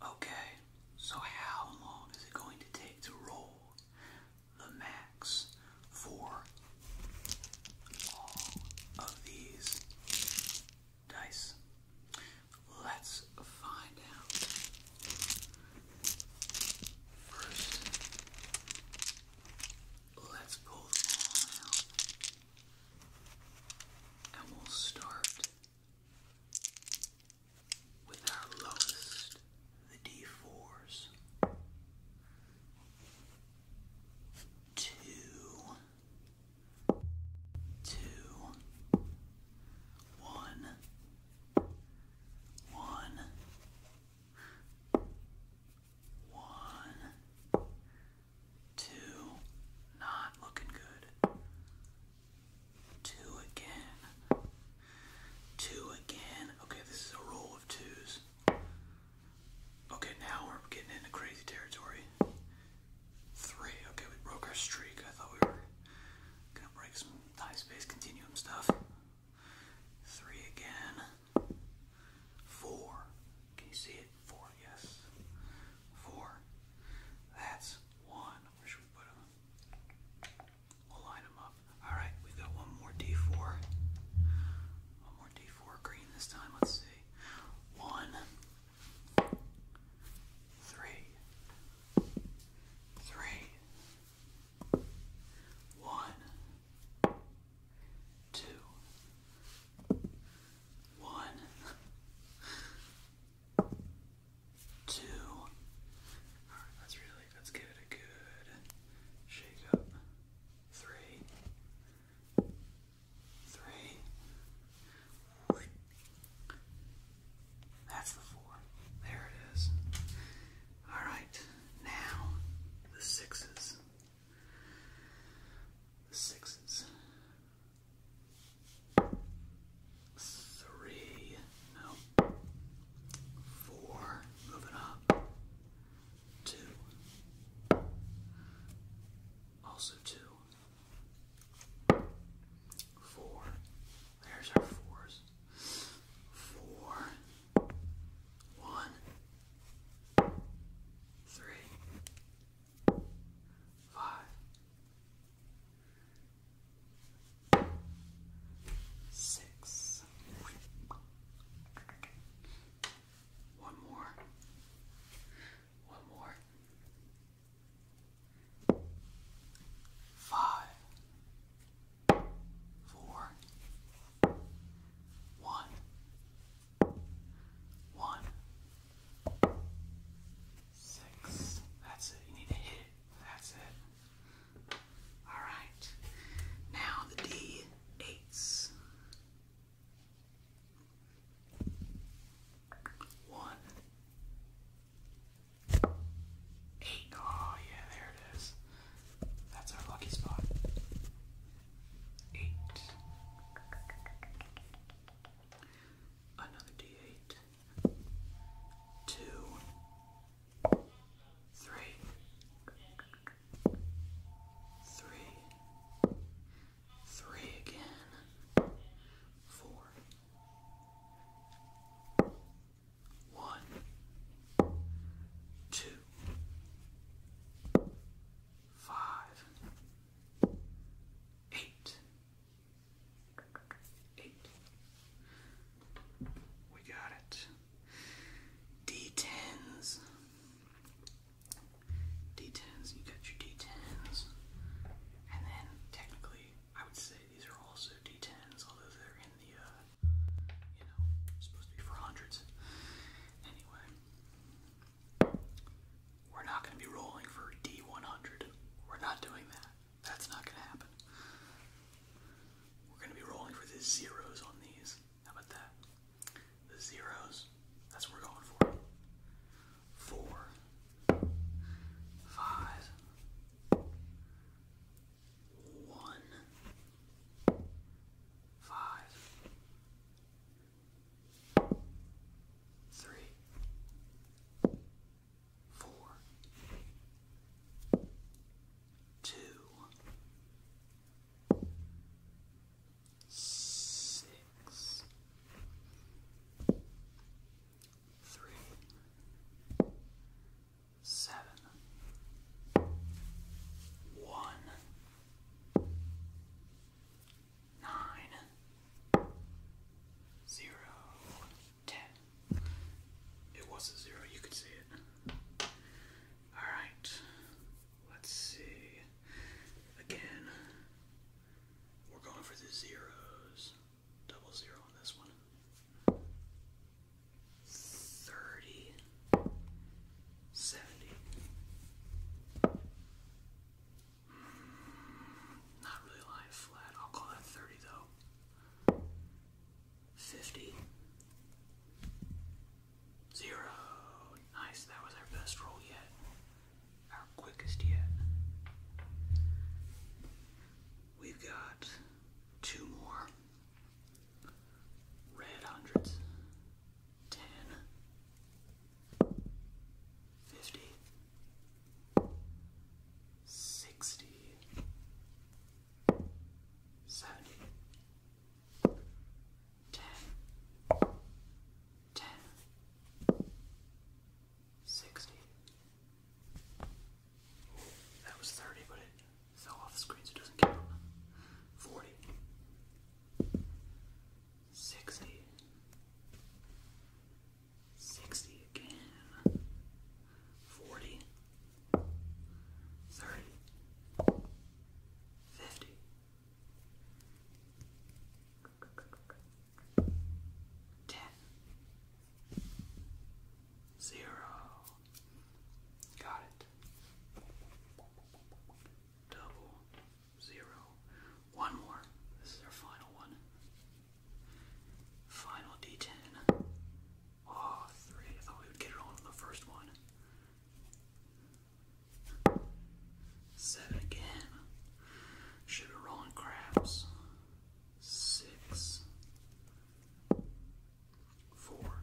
Okay, so how long is it going to take to roll the max for all of these dice? Let's find out. First, let's pull And we'll start with our lowest, the D4s. Two, two, one, one, one, two, not looking good. Two again. Two again. Okay, this is a roll of twos. Okay, now we're getting into crazy territory. Three. Okay, we broke our streak. I thought we were gonna break some high space continuum stuff. Three again. Four. Can you see it? Four, yes. Four. That's one. Where should we put them? We'll line them up. Alright, we got one more D4. One more D4 green this time. Let's see. One, three, three, one, two, one, two. All right, let's really let's give it a good shake up. Three, three. That's the four. There it is. All right, now the sixes. The sixes. Three. No. Four. Moving up. Two. Also two. Four. There's our fours. Four. One. Three. Five. Six. One more. One more. Five. Four. One. One. Six. That's it. You need to hit that's it. Alright. Now the D8s. One. Eight. Oh, yeah, there it is. That's our lucky spot. Eight. Another D8 two, three, three, three again, four, one, two, five, eight eight. We got it. D10s. D10s, you got your D10s. And then, technically, I would say these are also D10s, although they're in the, uh, you know, supposed to be for hundreds. Anyway, we're not going to be rolling for D100. We're not doing that. That's not gonna happen. We're gonna be rolling for the zeros on these. How about that? The zeros. That's what we're going for. Four four, two, six, three, seven, one, nine, zero ten. It was a zero, you could see it. Alright, let's see. Again, we're going for the zeros. Double zero on this one. 30, 70, not really lying flat. I'll call that 30 though. 50. Zero. Nice. That was our best roll yet. Our quickest yet. We've got two more red hundreds. 10 50 sixty, seventy, ten, ten, sixty. That was thirty, but it fell off the screen, so it doesn't count. Forty. 60 60 again, 40, 30, 50, 10, 0. Got it. Double, zero. One more. This is our final one. Final D10. Oh, ah, three. I thought we would get it on the first one. Seven again. Should be rolling craps. Six. Four.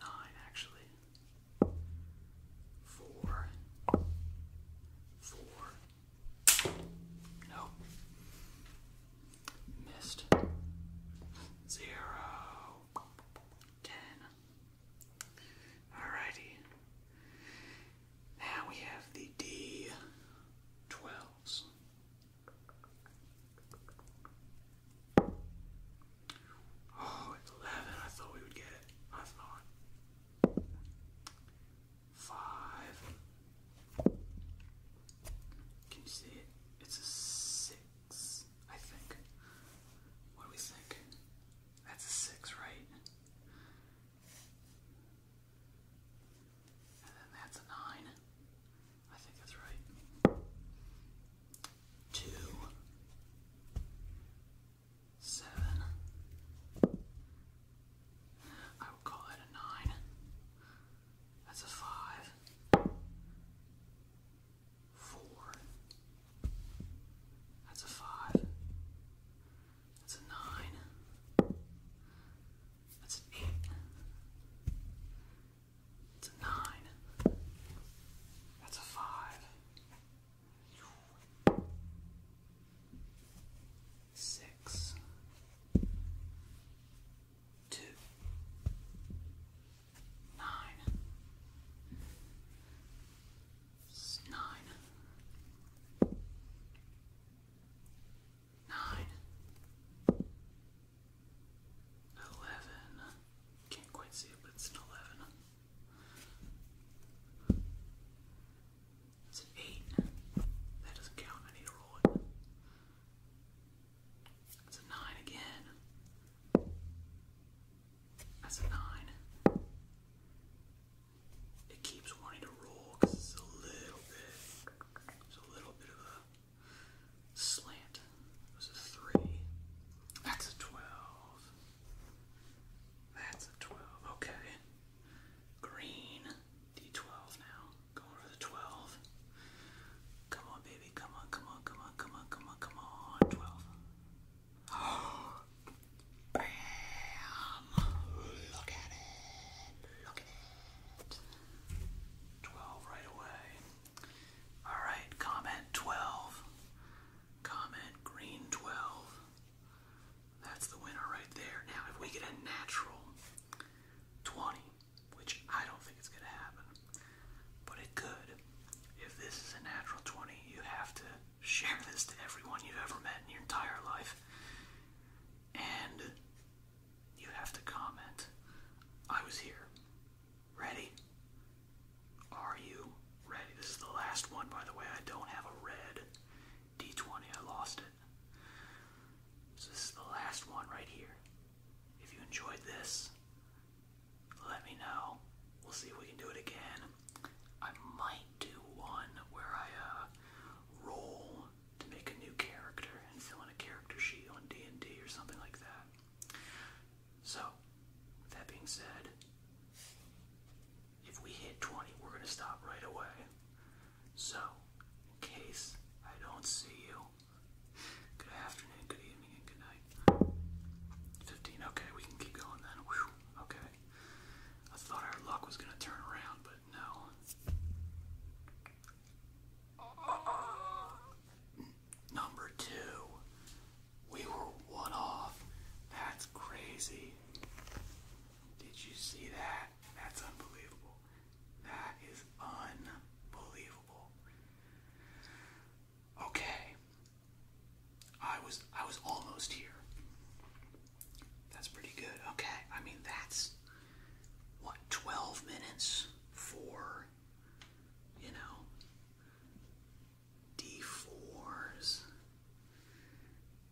nine, actually. Four four. No. Missed. Zero. Ten. Alrighty. Now we have the D twelves. Oh, I thought we would get it. I thought five. Can you see it? It's a six, I think. What do we think? That's a six, right? And then that's a nine. I think that's right. Two seven. I will call it a nine. That's a five. Four. That's a five. That's a nine. That's an eight. That's a nine. That's a five six, two, nine, nine, nine, eleven. Can't quite see but it's an eleven. It's an eight. That doesn't count. I need to roll it. That's a nine again. That's a nine. It keeps wanting to roll because it's a little bit. It's a little bit of a slant. It a three. That's a twelve. That's a twelve. Okay. Green. D12 now. Going for the 12. Come on, baby. Come on, come on, come on, come on, come on, come on. 12. bam! Look at it. Look at it. 12 right away. Alright, comment 12. Comment green 12. That's the winner right there. Now, if we get a natural 20, which I don't think it's going to happen, but it could. If this is a natural 20, you have to share this to everyone you've ever met in your entire life. And you have to comment, I was here. Ready? Are you ready? This is the last one, by the way. I don't have a red. D20, I lost it. this is the last one right here. If you enjoyed this, let me know. We'll see if we can do it again. I might do one where I uh, roll to make a new character and fill in a character sheet on D&D or something like that. So, that being said, if we hit 20, we're going to stop right away. So, in case I don't see you, good afternoon, good evening, and good night. 15, okay, we can keep going then. okay. I thought our luck was going to turn around, but no. number two. We were one off. That's crazy. Did you see that? That's unbelievable. That is unbelievable. Okay. I was I was almost here. That's pretty good. Okay. I mean that's what 12 minutes for you know D4s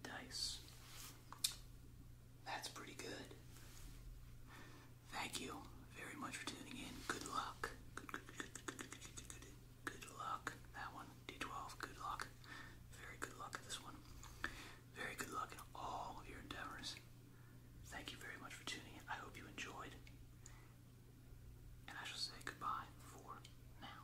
dice. That's pretty good. Thank you very much for tuning in. Good luck. Good, good, good, good, good, good, good, good luck. That one, D12, good luck. Very good luck at this one. Very good luck in all of your endeavors. Thank you very much for tuning in. I hope you enjoyed. And I shall say goodbye for now.